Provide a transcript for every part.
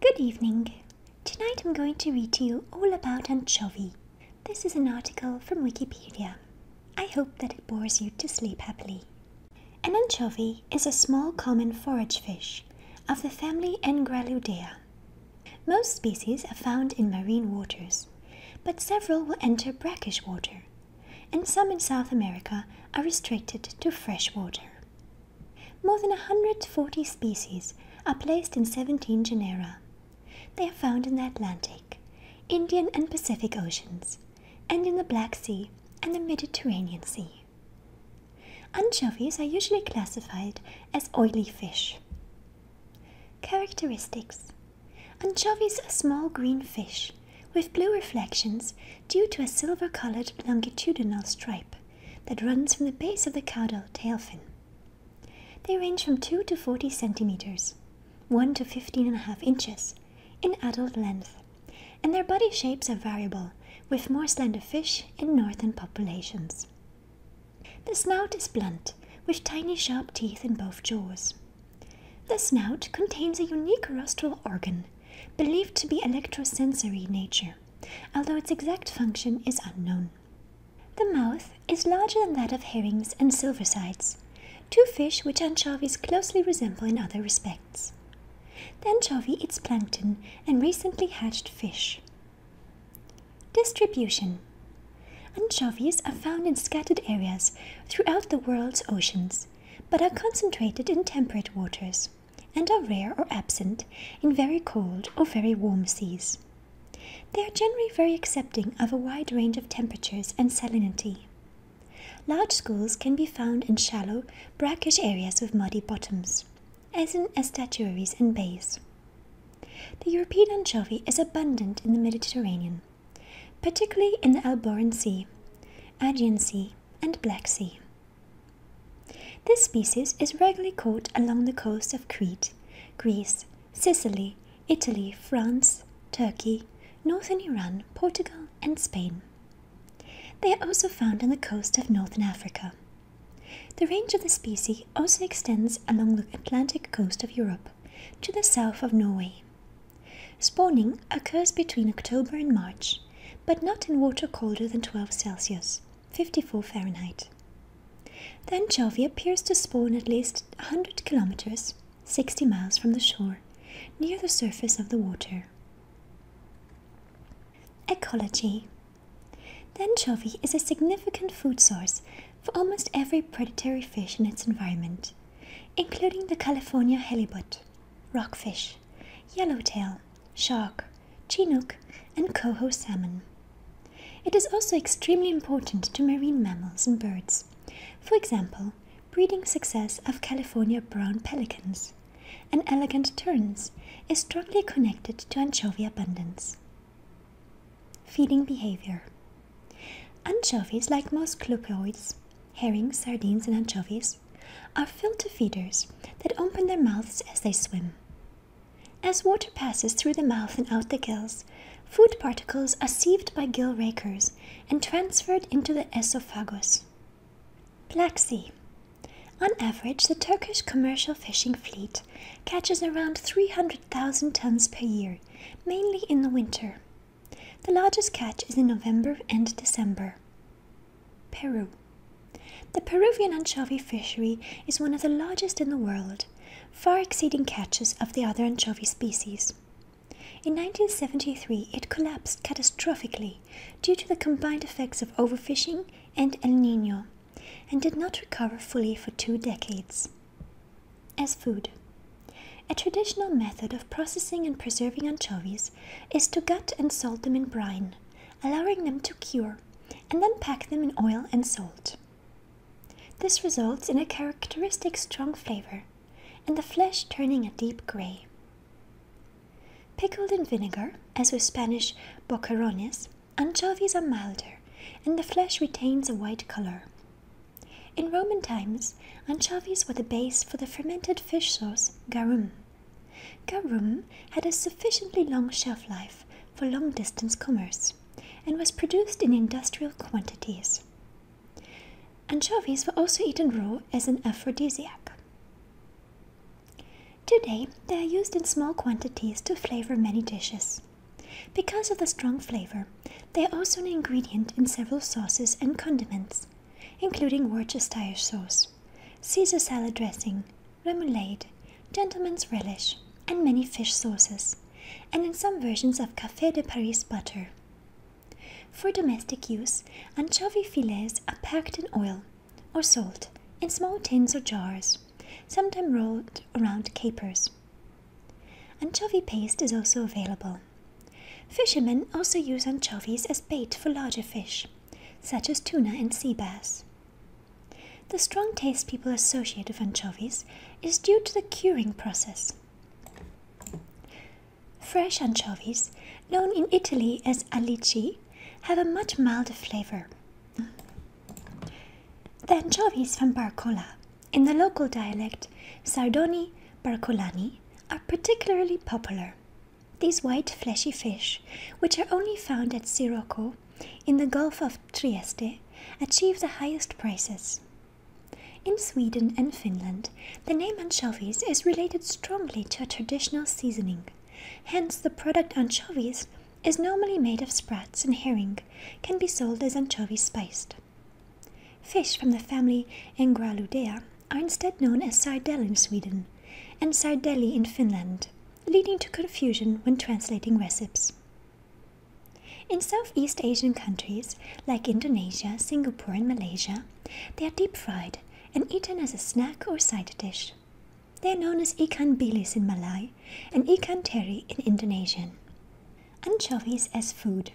Good evening. Tonight I'm going to read to you all about anchovy. This is an article from Wikipedia. I hope that it bores you to sleep happily. An anchovy is a small common forage fish of the family Engreludea. Most species are found in marine waters, but several will enter brackish water, and some in South America are restricted to fresh water. More than 140 species are placed in 17 genera. They are found in the Atlantic, Indian and Pacific Oceans, and in the Black Sea and the Mediterranean Sea. Anchovies are usually classified as oily fish. Characteristics Anchovies are small green fish with blue reflections due to a silver colored longitudinal stripe that runs from the base of the caudal tail fin. They range from 2 to 40 centimeters, 1 to fifteen and a half inches, in adult length, and their body shapes are variable, with more slender fish in northern populations. The snout is blunt, with tiny sharp teeth in both jaws. The snout contains a unique rostral organ, believed to be electrosensory in nature although its exact function is unknown. The mouth is larger than that of herrings and silversides, two fish which anchovies closely resemble in other respects. The anchovy eats plankton and recently hatched fish. Distribution Anchovies are found in scattered areas throughout the world's oceans, but are concentrated in temperate waters and are rare or absent in very cold or very warm seas. They are generally very accepting of a wide range of temperatures and salinity. Large schools can be found in shallow, brackish areas with muddy bottoms, as in estuaries and bays. The European anchovy is abundant in the Mediterranean, particularly in the Alboran Sea, Aegean Sea, and Black Sea. This species is regularly caught along the coasts of Crete, Greece, Sicily, Italy, France, Turkey, northern Iran, Portugal, and Spain. They are also found on the coast of northern Africa. The range of the species also extends along the Atlantic coast of Europe to the south of Norway. Spawning occurs between October and March but not in water colder than 12 Celsius, 54 Fahrenheit. The anchovy appears to spawn at least a 100 kilometers, 60 miles from the shore, near the surface of the water. Ecology The anchovy is a significant food source for almost every predatory fish in its environment, including the California halibut, rockfish, yellowtail, shark, chinook, and coho salmon. It is also extremely important to marine mammals and birds. For example, breeding success of California brown pelicans and elegant terns is strongly connected to anchovy abundance. Feeding behavior Anchovies, like most clupperoids, herring, sardines, and anchovies, are filter feeders that open their mouths as they swim. As water passes through the mouth and out the gills, food particles are sieved by gill rakers and transferred into the esophagus. Black Sea. On average, the Turkish commercial fishing fleet catches around 300,000 tons per year, mainly in the winter. The largest catch is in November and December. Peru. The Peruvian anchovy fishery is one of the largest in the world, far exceeding catches of the other anchovy species. In 1973, it collapsed catastrophically due to the combined effects of overfishing and El Nino, and did not recover fully for two decades. As food, a traditional method of processing and preserving anchovies is to gut and salt them in brine, allowing them to cure, and then pack them in oil and salt. This results in a characteristic strong flavor and the flesh turning a deep grey. Pickled in vinegar, as with Spanish boquerones, anchovies are milder and the flesh retains a white color. In Roman times, anchovies were the base for the fermented fish sauce garum. Garum had a sufficiently long shelf life for long distance commerce and was produced in industrial quantities. Anchovies were also eaten raw as an aphrodisiac. Today, they are used in small quantities to flavor many dishes. Because of the strong flavor, they are also an ingredient in several sauces and condiments, including Worcestershire sauce, Caesar salad dressing, remoulade, gentleman's relish, and many fish sauces, and in some versions of Café de Paris butter. For domestic use, anchovy fillets are packed in oil or salt in small tins or jars, sometimes rolled around capers. Anchovy paste is also available, Fishermen also use anchovies as bait for larger fish, such as tuna and sea bass. The strong taste people associate with anchovies is due to the curing process. Fresh anchovies, known in Italy as alici, have a much milder flavor. The anchovies from Barcola, in the local dialect Sardoni Barcolani, are particularly popular. These white fleshy fish, which are only found at Sirocco in the Gulf of Trieste, achieve the highest prices. In Sweden and Finland, the name anchovies is related strongly to a traditional seasoning. Hence, the product anchovies is normally made of sprats and herring, can be sold as anchovy spiced. Fish from the family Engraludea are instead known as sardel in Sweden and sardeli in Finland, leading to confusion when translating recipes. In Southeast Asian countries like Indonesia, Singapore, and Malaysia, they are deep fried and eaten as a snack or side dish. They are known as ikan bilis in Malay and ikan teri in Indonesian. Anchovies as food.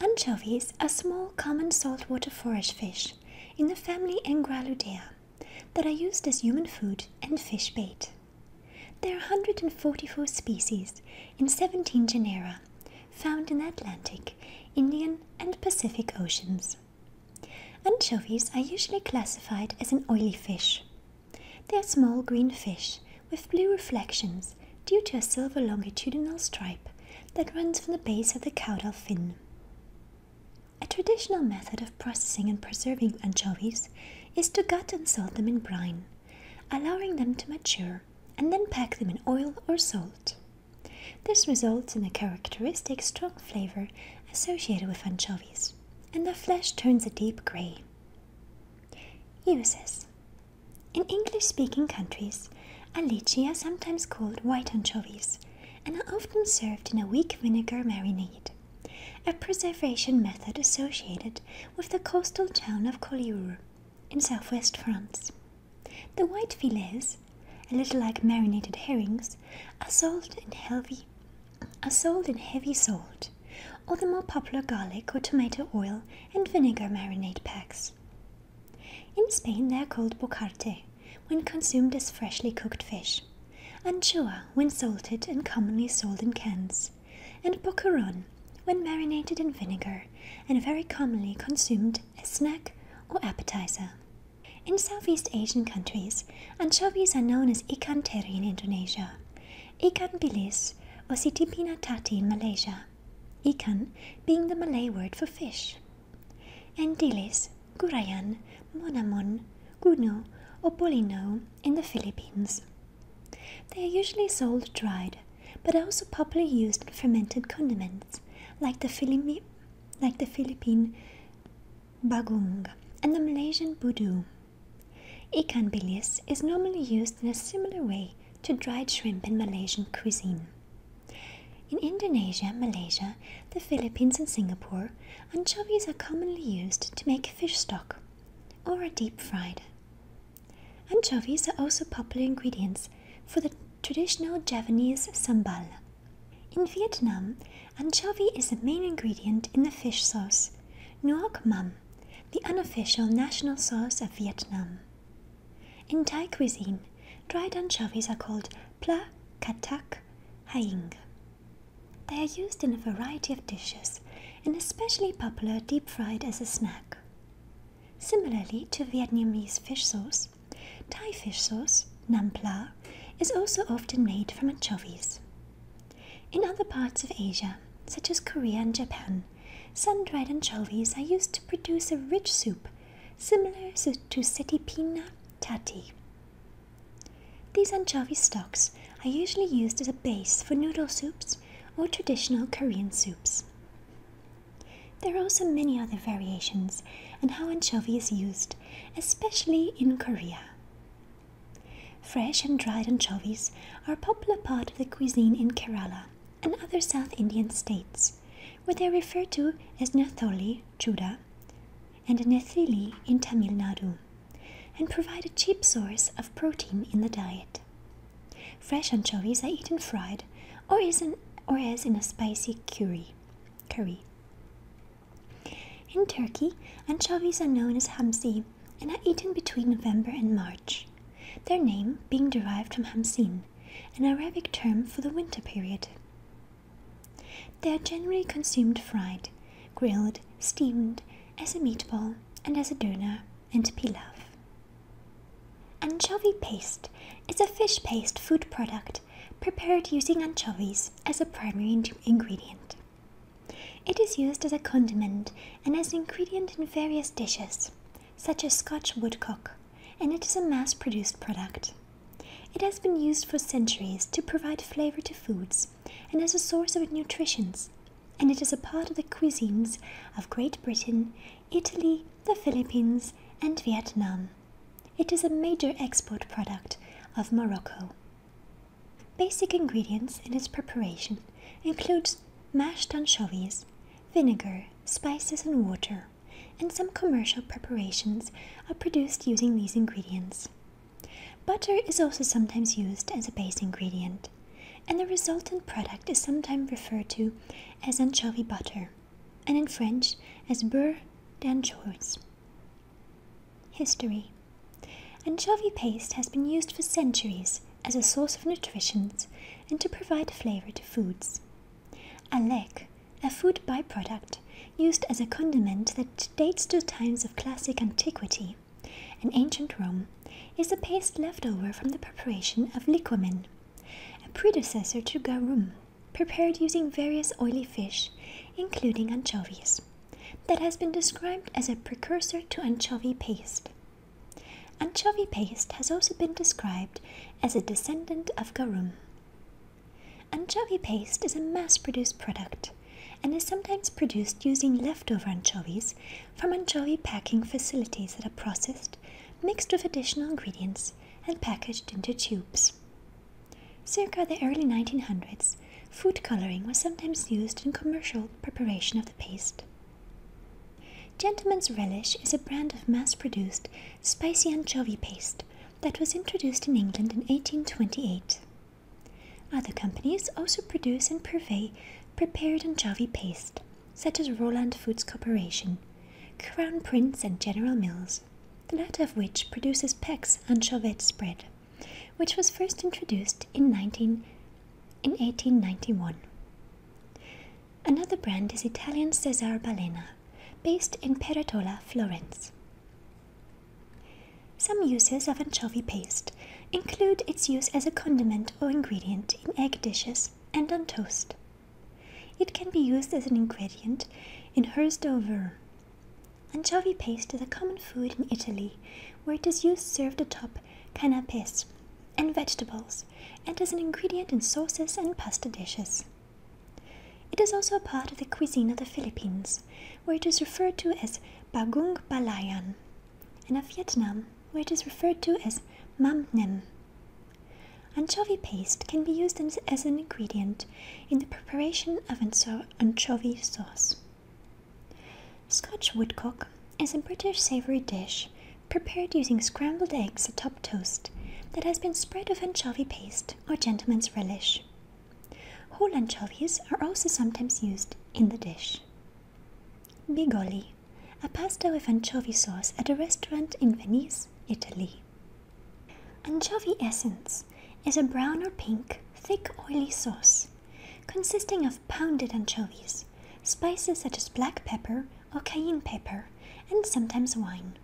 Anchovies are small common saltwater forage fish in the family Engraludea that are used as human food and fish bait. There are 144 species in 17 genera found in the Atlantic, Indian, and Pacific Oceans. Anchovies are usually classified as an oily fish. They are small green fish with blue reflections due to a silver longitudinal stripe that runs from the base of the caudal fin. A traditional method of processing and preserving anchovies is to gut and salt them in brine, allowing them to mature, and then pack them in oil or salt. This results in the characteristic strong flavor associated with anchovies, and the flesh turns a deep gray. Uses in English speaking countries, alici are sometimes called white anchovies and are often served in a weak vinegar marinade, a preservation method associated with the coastal town of Collioure in southwest France. The white fillets, a little like marinated herrings, are sold in heavy, are sold in heavy salt, or the more popular garlic or tomato oil and vinegar marinade packs. In Spain, they are called bocarte when consumed as freshly cooked fish, anchoa when salted and commonly sold in cans, and bocaron when marinated in vinegar and very commonly consumed as snack or appetizer. In Southeast Asian countries, anchovies are known as ikan teri in Indonesia, ikan bilis, or sitipinatati in Malaysia, Ikan being the Malay word for fish, and dilis, gurayan, monamon, guno, or polino in the Philippines. They are usually sold dried, but are also popularly used in fermented condiments like the, Philippi, like the Philippine bagung and the Malaysian budu. Ikan bilis is normally used in a similar way to dried shrimp in Malaysian cuisine. In Indonesia, Malaysia, the Philippines, and Singapore, anchovies are commonly used to make fish stock or are deep fried. Anchovies are also popular ingredients for the traditional Javanese sambal. In Vietnam, anchovy is the main ingredient in the fish sauce, nuoc mam, the unofficial national sauce of Vietnam. In Thai cuisine, dried anchovies are called pla katak haing. They are used in a variety of dishes and especially popular deep fried as a snack. Similarly to Vietnamese fish sauce, Thai fish sauce, nam pla, is also often made from anchovies. In other parts of Asia, such as Korea and Japan, Sun-dried anchovies are used to produce a rich soup similar to setipina tati. These anchovy stocks are usually used as a base for noodle soups or traditional Korean soups. There are also many other variations and how anchovy is used, especially in Korea. Fresh and dried anchovies are a popular part of the cuisine in Kerala and other South Indian states, where they are referred to as netholi, chuda, and nethili in Tamil Nadu, and provide a cheap source of protein in the diet. Fresh anchovies are eaten fried or as, in, a spicy curry. curry. In Turkey, anchovies are known as hamsi and are eaten between November and March their name being derived from Hamsin, an Arabic term for the winter period. They are generally consumed fried, grilled, steamed, as a meatball, and as a doner and pilaf. Anchovy paste is a fish paste food product prepared using anchovies as a primary ingredient. It is used as a condiment and as an ingredient in various dishes, such as Scotch woodcock, and it is a mass produced product. It has been used for centuries to provide flavor to foods and as a source of nutrients, and it is a part of the cuisines of Great Britain, Italy, the Philippines, and Vietnam. It is a major export product of Morocco. Basic ingredients in its preparation includes mashed anchovies, vinegar, spices and water, and some commercial preparations are produced using these ingredients. Butter is also sometimes used as a base ingredient, and the resultant product is sometimes referred to as anchovy butter, and in French as beurre d'anchois. History Anchovy paste has been used for centuries as a source of nutrients and to provide flavour to foods. Alec, a food byproduct used as a condiment that dates to times of classic antiquity in ancient Rome, is a paste left over from the preparation of liquamen, a predecessor to garum, prepared using various oily fish, including anchovies that has been described as a precursor to anchovy paste. Anchovy paste has also been described as a descendant of garum. Anchovy paste is a mass produced product and is sometimes produced using leftover anchovies from anchovy packing facilities that are processed, mixed with additional ingredients, and packaged into tubes. Circa the early 1900s, food coloring was sometimes used in commercial preparation of the paste. Gentleman's Relish is a brand of mass produced spicy anchovy paste that was introduced in England in 1828. Other companies also produce and purvey prepared anchovy paste, such as Roland Foods Corporation, Crown Prince, and General Mills, the latter of which produces Peck's anchovette spread which was first introduced in, 19, in 1891. Another brand is Italian Cesare Balena, based in Peretola, Florence. Some uses of anchovy paste include its use as a condiment or ingredient in egg dishes and on toast. It can be used as an ingredient in hors d'oeuvre, Anchovy paste is a common food in Italy, where it is used served atop canapes and vegetables, and as an ingredient in sauces and pasta dishes. It is also a part of the cuisine of the Philippines, where it is referred to as bagung balayan, and of Vietnam, where it is referred to as mam nem. Anchovy paste can be used as an ingredient in the preparation of anchovy sauce. Scotch woodcock is a British savory dish prepared using scrambled eggs atop toast that has been spread with anchovy paste or gentleman's relish. Whole anchovies are also sometimes used in the dish. Bigoli, a pasta with anchovy sauce at a restaurant in Venice, Italy. Anchovy essence is a brown or pink, thick, oily sauce consisting of pounded anchovies, spices such as black pepper or cayenne pepper, and sometimes wine.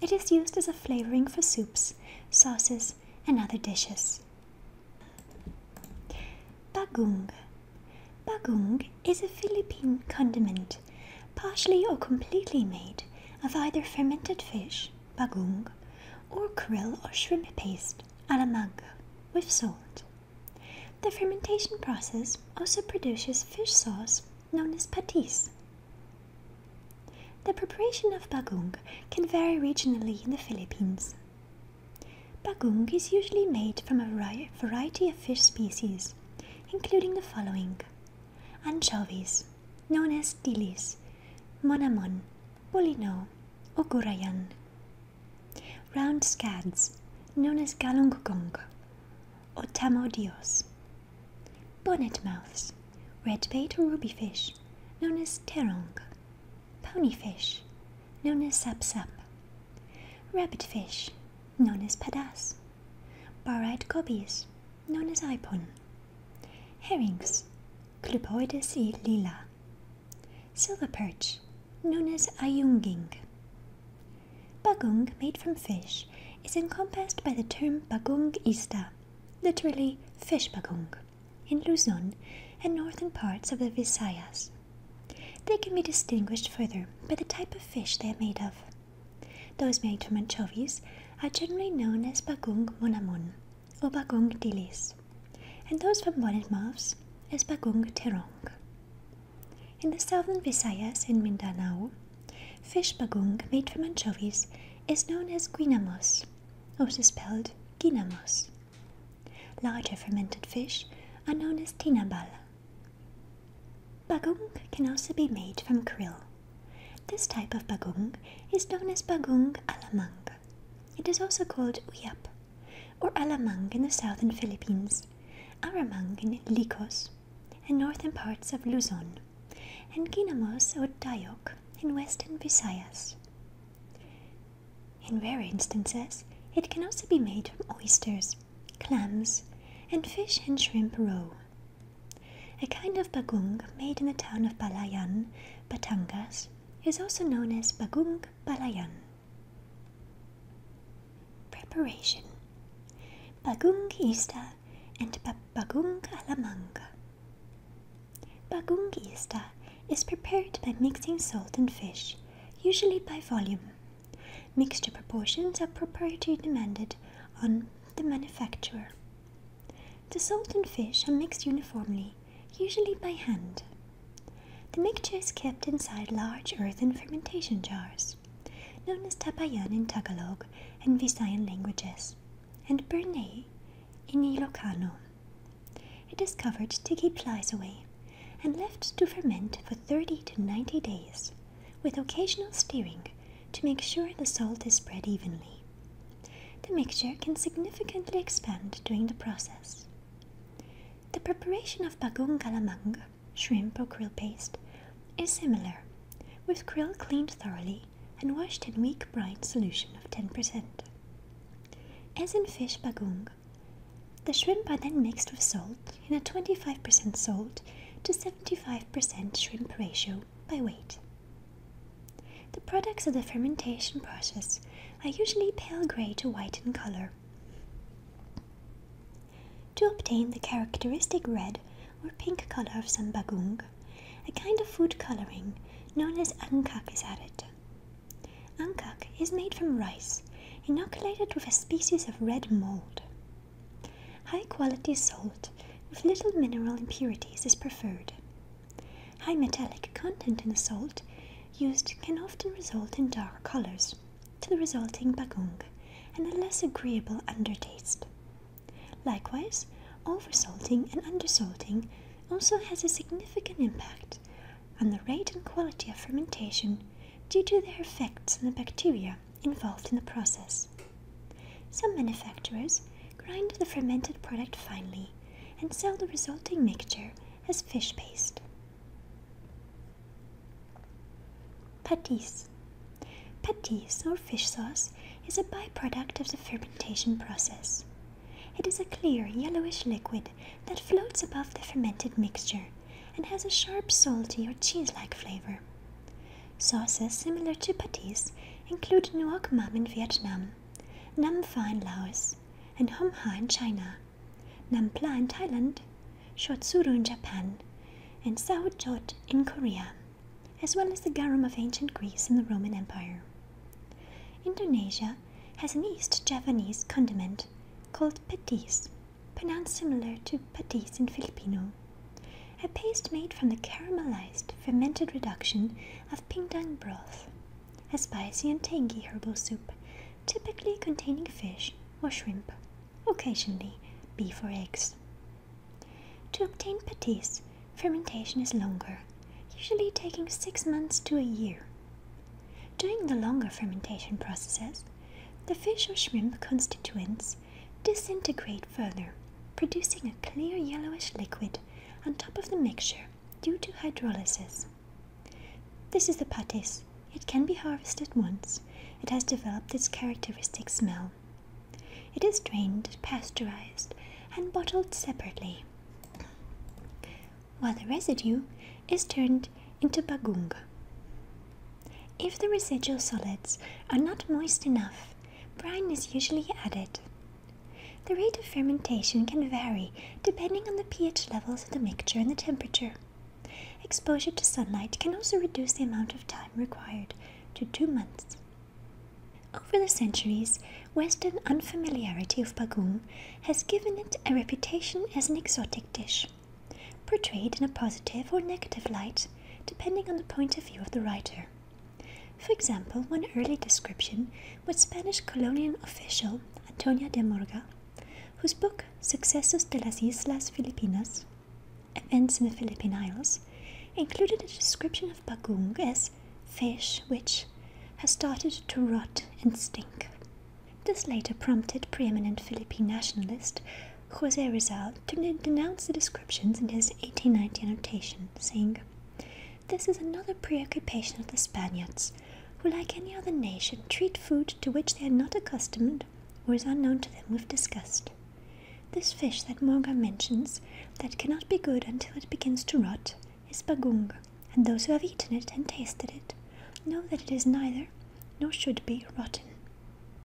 It is used as a flavoring for soups, sauces, and other dishes. Bagung. Bagung is a Philippine condiment, partially or completely made of either fermented fish, bagung, or krill or shrimp paste, and a mango with salt. The fermentation process also produces fish sauce known as patis. The preparation of bagung can vary regionally in the Philippines. Bagung is usually made from a variety of fish species, including the following anchovies, known as tilis, monamon, Polino or Gurayan. Round scads, known as galungkong or tamodios. Bonnet mouths, red bait or ruby fish, known as terong. Pony fish, known as sap Rabbit fish, known as padas. Bar-eyed gobies, known as ipon. Herrings, Cluboides y lila. perch, known as ayunging. Bagung, made from fish, is encompassed by the term bagung ista, literally fish bagung, in Luzon and northern parts of the Visayas. They can be distinguished further by the type of fish they are made of. Those made from anchovies are generally known as bagung monamon, o Bagong Dilis, and those from Bonnet Mouths is Bagong Terong. In the southern Visayas and Mindanao, fish bagong made from anchovies is known as guinamos, also spelled ginamos. Larger fermented fish are known as tinabal. Bagong can also be made from krill. This type of bagong is known as bagong alamang. It is also called Uyap or Alamang in the southern Philippines, Aramang in Licos and northern parts of Luzon, and Ginamos or Dayok in western Visayas. In rare instances, it can also be made from oysters, clams, and fish and shrimp roe. A kind of bagung made in the town of Balayan, Batangas, is also known as bagung Balayan. Preparation Bagung Ista and Bagung alamang. Bagung Ista is prepared by mixing salt and fish, usually by volume. Mixture proportions are proprietary demanded on the manufacturer. The salt and fish are mixed uniformly, usually by hand. The mixture is kept inside large earthen fermentation jars, known as tapayan in Tagalog and Visayan languages, and bernay in Ilocano. It is covered to keep flies away and left to ferment for 30 to 90 days, with occasional stirring to make sure the salt is spread evenly. The mixture can significantly expand during the process. The preparation of bagung kalamang, shrimp or krill paste, is similar, with krill cleaned thoroughly and washed in weak brine solution of 10%. As in fish bagung, the shrimp are then mixed with salt in a 25% salt to 75% shrimp ratio by weight. The products of the fermentation process are usually pale grey to white in colour. To obtain the characteristic red or pink colour of sambagung, a kind of food colouring known as angkak is added. Angkak is made from rice, inoculated with a species of red mold. High quality salt with little mineral impurities is preferred. High metallic content in the salt used can often result in dark colors, to the resulting bagung and a less agreeable undertaste. Likewise, oversalting and undersalting also has a significant impact on the rate and quality of fermentation due to their effects on the bacteria involved in the process. Some manufacturers Grind the fermented product finely and sell the resulting mixture as fish paste. Patisse. Patisse or fish sauce is a byproduct of the fermentation process. It is a clear yellowish liquid that floats above the fermented mixture and has a sharp salty or cheese like flavor. Sauces similar to patties include nuoc mam in Vietnam, nam pha in Laos, and hom ha in China, nam pla in Thailand, shotsuru in Japan, and saochot in Korea, as well as the garum of ancient Greece and the Roman Empire. Indonesia has an East Javanese condiment called patis, pronounced similar to patis in Filipino a paste made from the caramelized fermented reduction of pindang broth, a spicy and tangy herbal soup typically containing fish or shrimp, occasionally beef or eggs. To obtain patis, fermentation is longer, usually taking six months to a year. During the longer fermentation processes, the fish or shrimp constituents disintegrate further, producing a clear yellowish liquid on top of the mixture due to hydrolysis. This is the patis. It can be harvested once. It has developed its characteristic smell. It is drained, pasteurized, and bottled separately, while the residue is turned into bagung. If the residual solids are not moist enough brine is usually added. The rate of fermentation can vary depending on the pH levels of the mixture and the temperature. Exposure to sunlight can also reduce the amount of time required to two months. Over the centuries, Western unfamiliarity of baguette has given it a reputation as an exotic dish, portrayed in a positive or negative light depending on the point of view of the writer. For example, one early description was Spanish colonial official Antonia de Morga, whose book Sucesos de las Islas Filipinas, Events in the Philippine Isles, included a description of bagung as fish which has started to rot and stink. This later prompted preeminent Philippine nationalist Jose Rizal denounce the descriptions in his 1890 annotation, saying, This is another preoccupation of the Spaniards, who, like any other nation, treat food to which they are not accustomed or is unknown to them with disgust. This fish that Morga mentions, that cannot be good until it begins to rot, is bagung, and those who have eaten it and tasted it know that it is neither, nor should be, rotten.